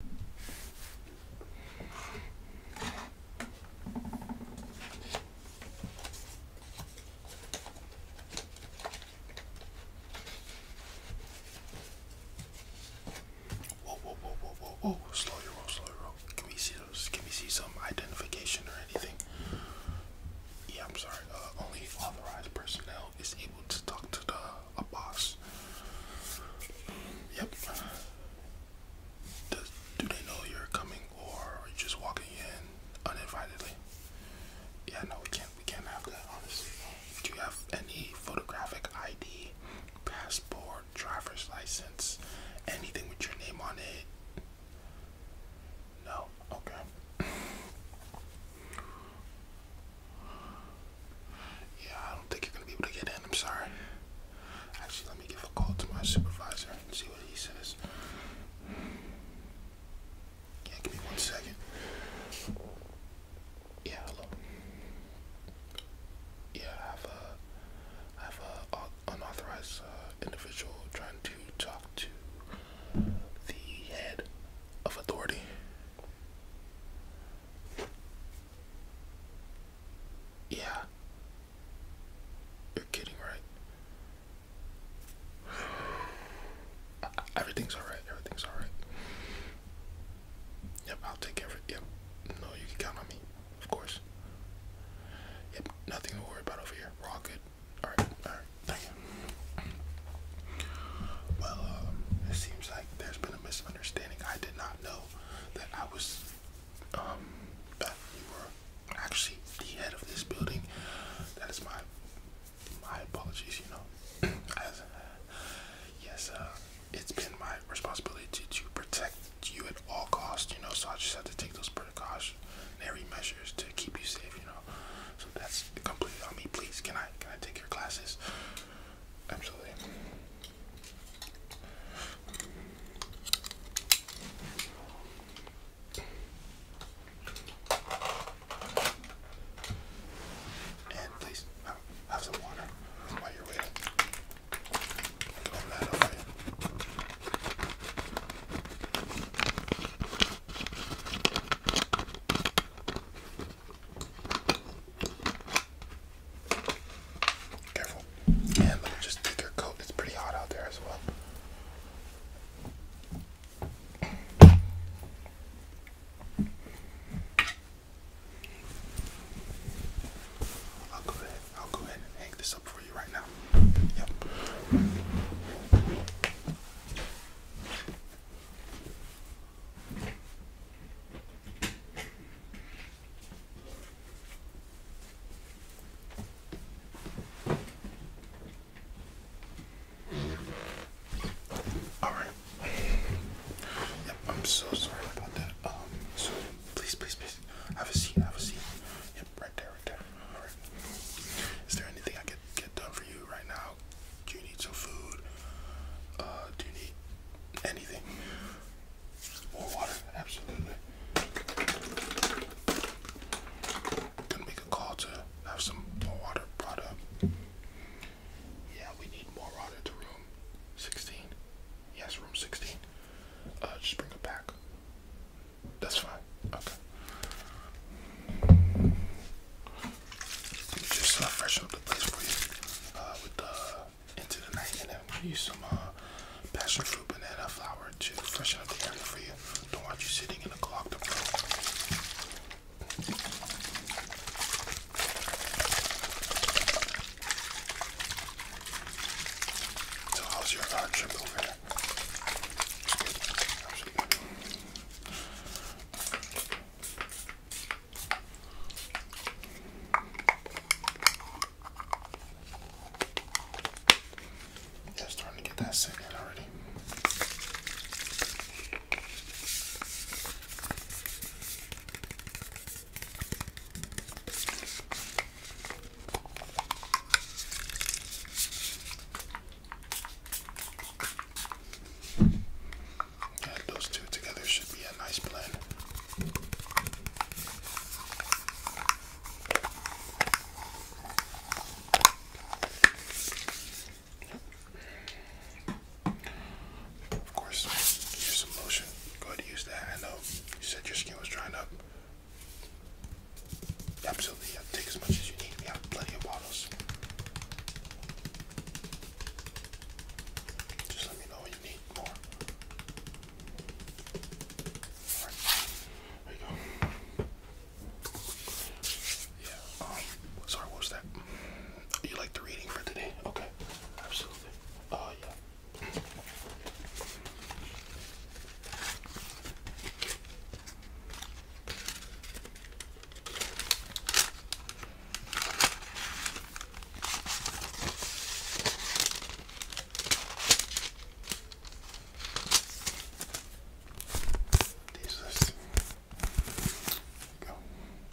Whoa, whoa, whoa, whoa, whoa, whoa! Slow your roll, slow your roll. Can we see those? Can we see some identification or anything? Yeah, I'm sorry. Uh, only authorized personnel is able to talk to the a boss. Yep. Does, do they know you're coming, or are you just walking in uninvitedly? Yeah, no, we can't. We can't have that, honestly. Do you have any photographic ID, passport, driver's license, anything with your name on it? No. Okay. Yeah, I don't think you're gonna be able to get in. I'm sorry. Actually, let me give a call to my supervisor and see what he says. Yeah, give me one second. Yeah, hello. Yeah, I have a, I have a uh, unauthorized uh, individual trying to talk to the head of authority. Yeah. You're kidding, right? Uh, everything's alright. Everything's alright. Yep, I'll take every. Yep. No, you can count on me. Of course. Yep, nothing to worry about over here. all good. Alright, alright. Thank you. Well, um, it seems like there's been misunderstanding. I did not know that I was, um, actually the head of this building. That is my, my apologies, you know. yes, uh, it's been my responsibility to, protect you at all costs, you know, so I just had to take those precautionary measures to keep you safe, you know. So that's completely on me. Please, can I, can I take your classes? Absolutely. And please have, some water while you're waiting. Careful. And let me just take your coat. It's pretty hot out there as well. I'll go ahead. I'll go ahead and hang this up for you right now. Yep. All right. Yep, I'm so sorry about that. Um, so please, please, please have a seat. Have a seat. Yep, right there, right there. All right. Is there anything I could get done for you right now? Do you need some food? Uh, do you need anything? More water? Absolutely. Gonna make a call to have some more water brought up. Yeah, we need more water to room 16. Yes, room 16. Uh, just bring it back. That's fine. Okay just uh, freshen up the place for you uh, with the into the night, and then use some uh, passion fruit banana flour to freshen up the area for you. Don't want you sitting in a clogged up So how's your uh, trip over there? I'm starting to get that set in already. And those two together should be a nice blend. Of course, here's some lotion. Go ahead and use that. I know you said your skin was drying up. Absolutely, Take as much as you need. We have plenty of bottles. Just let me know when you need more. Alright. There you go. Yeah. Um, sorry, what was that? You like the reading for today? Okay. Absolutely. Oh, yeah. These Go.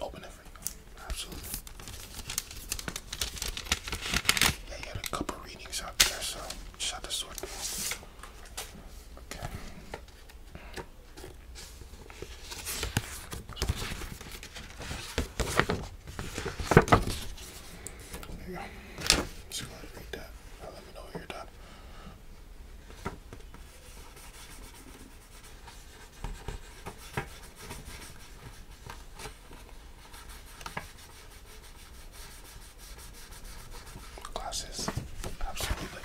Open it for you. Absolutely. Yeah, a couple readings out there, so shut the sword. Okay. There you go. Just go ahead and read that. Now let me know when you're done. Glasses, absolutely.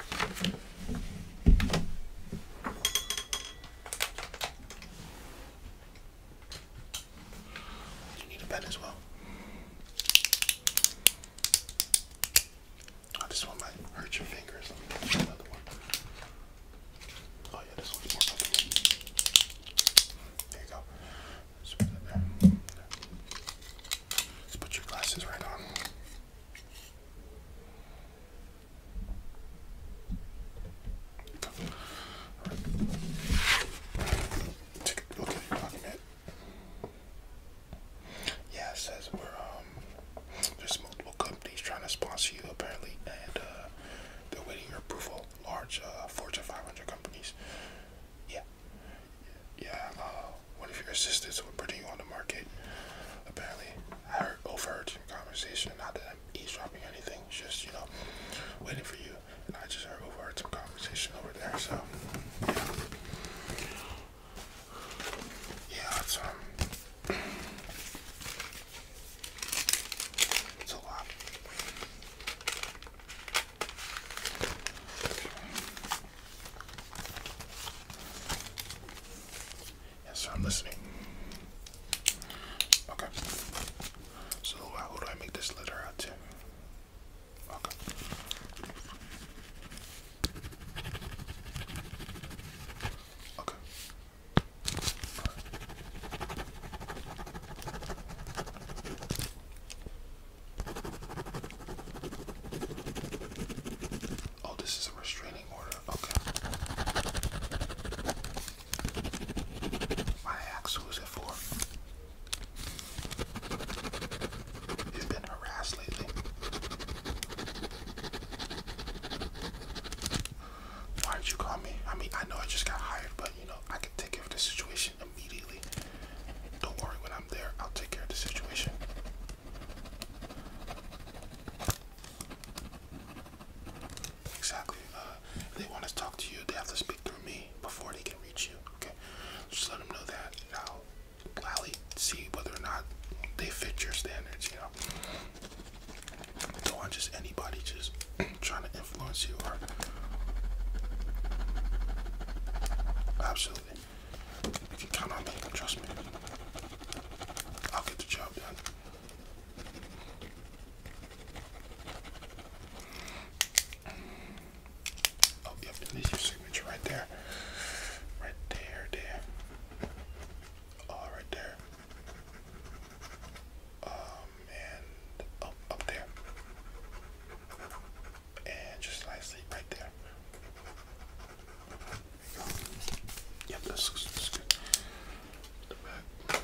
You need a pen as well. Oh, this one might hurt your fingers. another one. Oh yeah, this one's more comfortable. There you go. Let's put your glasses right on. All right. Take a look at we're um, there's multiple companies trying to sponsor you apparently and uh, they're waiting your approval. Large uh Fortune 500 companies. Yeah yeah, uh, one of your assistants were putting you on the market. Apparently, I heard, overheard your conversation. Not that I'm eavesdropping or anything, just, you know, waiting for you. And I just heard, overheard some conversation over there, so, yeah. Yeah, it's, um, it's a lot. Yes, I'm listening. Okay. So uh, how do I make this letter out Okay. Okay. Oh, this is a restraining order. Okay. My ex, who is it for? You've been harassed lately. Why did you call me? I mean, I know I just got hired, but you know, I can take care of the situation immediately. Don't worry, when I'm there, I'll take care of the situation. Exactly. Uh, they want to talk to you, they have to speak through me before they can reach you. Okay, just let them know that, I'll gladly see whether or not they fit your standards. You know, don't want just anybody just trying to influence you or absolutely you can on me trust me I'll get the job done oh yep there's your signature right there right there there all there um, oh, and up, up there, and just nicely right there. yep, that's, that's good. The back.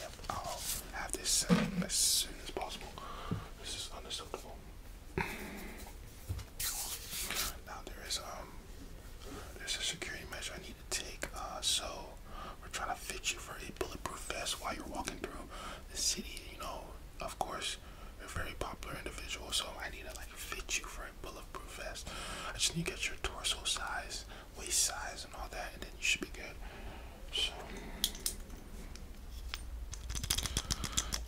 Yep, I'll have this set as soon as possible. This is unacceptable. Now there is um there's a security measure I need to take. Uh, so we're trying to fit you for a bulletproof vest while you're walking through the city. You know, of course, you're a very popular individual, so I need to like fit you for a bulletproof vest. I just need to get your torso size, waist size, and all that, and then you should be good. So,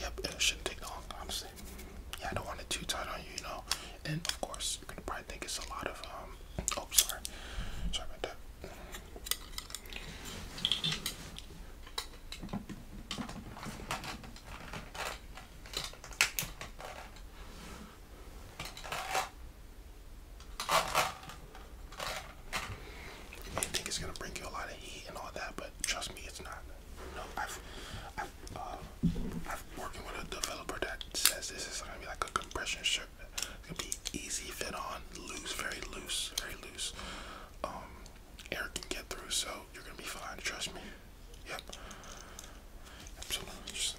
yep, it shouldn't take long, Yeah, I don't want it too tight on you, you know. And of course, it's gonna probably think it's a lot of um, Oh, sorry, sorry about that. You think it's gonna bring you a lot of heat and all that, but trust me, it's not. No, I've, i have I'm, um, working with a developer that says this is gonna be like a compression shirt. It's gonna be easy fit on, loose, very loose, very loose. Um, air can get through, so you're gonna be fine. Trust me. Yep. So let me just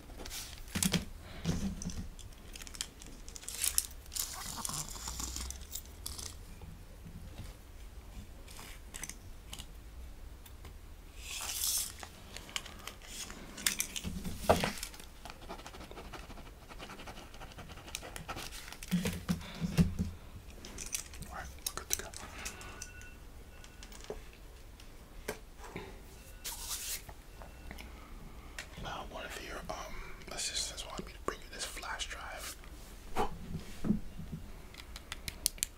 All right, we're good to go. Now, one of your um assistants wanted me to bring you this flash drive.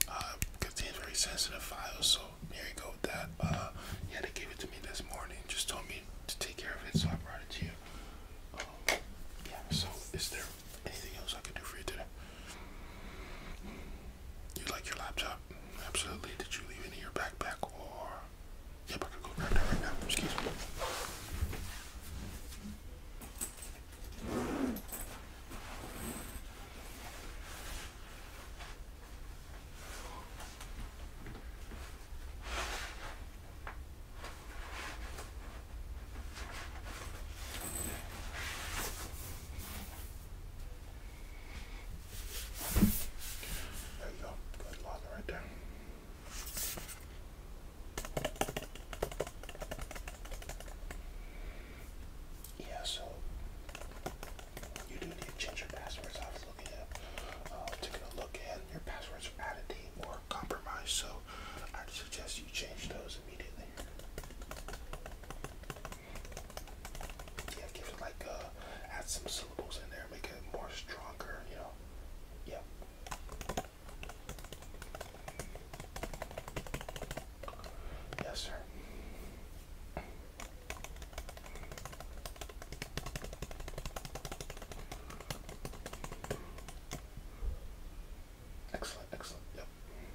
Uh, contains very sensitive files, so here you go with that. Uh, you had to give it to me this morning. Just told me to take care of it, so I brought it to you. Um, yeah. So, is there anything else I can do for you today? You like your laptop? absolutely. Did you leave any in your backpack or? Yep, I can go grab that right now. Excuse me. There you go. Good line right there. Yeah, so you do need to change your passwords. I was looking at uh, taking a look and your passwords are out of date or compromised, so i suggest you change those immediately. Yeah, give it like uh, add some syllables in there, make it more stronger. You know, yeah. Yes, sir. Excellent, excellent, yep.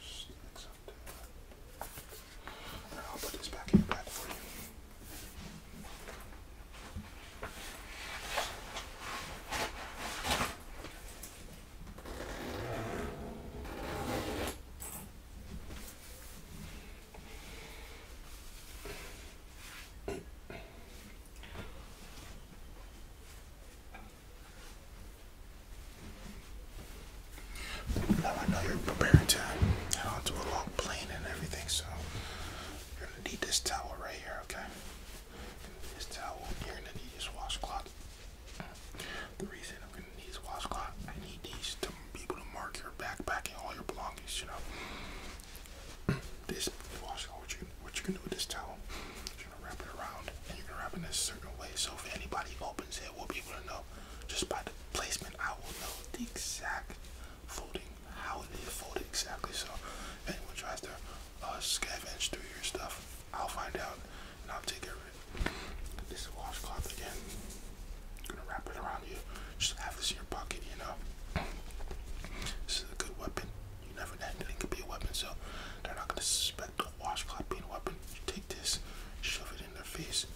Sticks up there. Right, I'll put this back in the bag for you. I know you're preparing to head onto a long plane and everything, so you're gonna need this towel right here, okay? This towel, you're gonna need this washcloth. The reason I'm gonna need this washcloth, I need these to be able to mark your backpack and all your belongings, you know this washing, what you what do with this towel, you're gonna wrap it around and you're gonna wrap in a certain way. So if anybody opens it, we'll be able to know just by the placement. I will know the exact folding, how it is folded exactly. So if anyone tries to uh, scavenge through your stuff, I'll find out and I'll take care This washcloth again, gonna wrap it around you. Just have this in your pocket, you know. This is a good weapon. You never know, it could be a weapon, so they're not gonna suspect a washcloth being a weapon. You take this, shove it in their face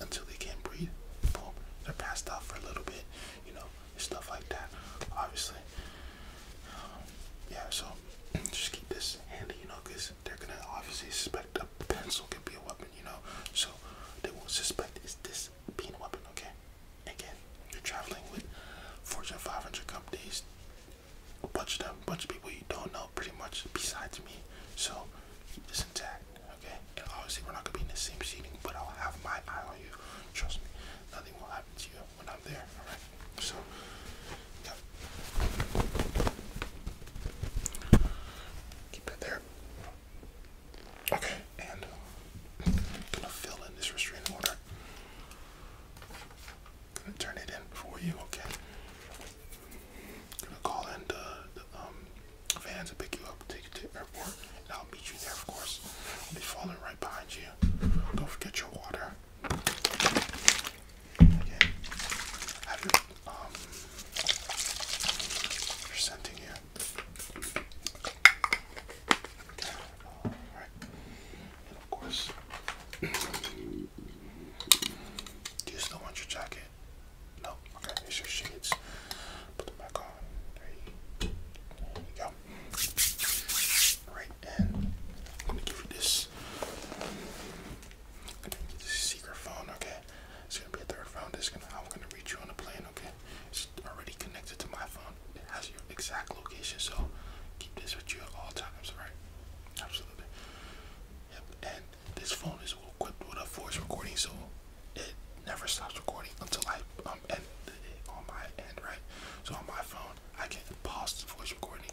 until they can't breathe. Boom, they're passed out for a little bit, you know, stuff like that. Obviously, um, yeah. So just keep this handy, you know, because they're gonna obviously suspect a pencil could be a weapon, you know. So they won't suspect it's this as weapon, okay? Again, you're traveling with Fortune 500 companies, a bunch of them, bunch of people you don't know pretty much besides me. So keep this intact, okay? And obviously we're not gonna be in the same seating, but I'll have my eye on you. Trust me, nothing will happen to you when I'm there, alright? So Keep it there. Okay and i uh, gonna fill in this restraining order. gonna turn it in for you, okay? gonna call in the, the um, van to pick you up, take you to airport, and I'll meet you there, of course. I'll be following right behind you. Don't forget your water. Okay. Have your um, presenting here do you still want your jacket? No. Okay, here's your shades. Put them back on. There you, go. All right, and I'm gonna give you this. secret phone. Okay, it's gonna be a third round. It's gonna. I'm gonna reach you on the plane. Okay. It's already connected to my phone. It has your exact location, so keep this with you at all times, right? Absolutely. And this phone is equipped with a voice recording, so it never stops recording until I um end it on my end, right? So on my phone, I can pause the voice recording.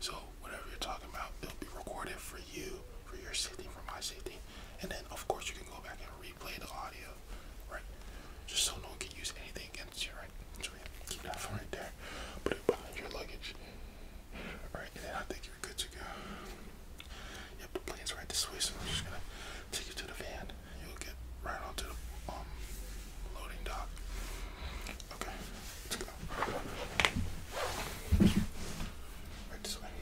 So whatever you're talking about, it'll be recorded for you, for your safety, for my safety and then of course you can go back and replay the audio, right? Just so no one can use anything against you, right? So yeah, keep that phone right there, put it behind your luggage, right? And then I think you're good to go. Yep, the plane's right this way, so I'm just gonna take you to the van. You'll get right onto the um loading dock. Okay, let's go. Right this way.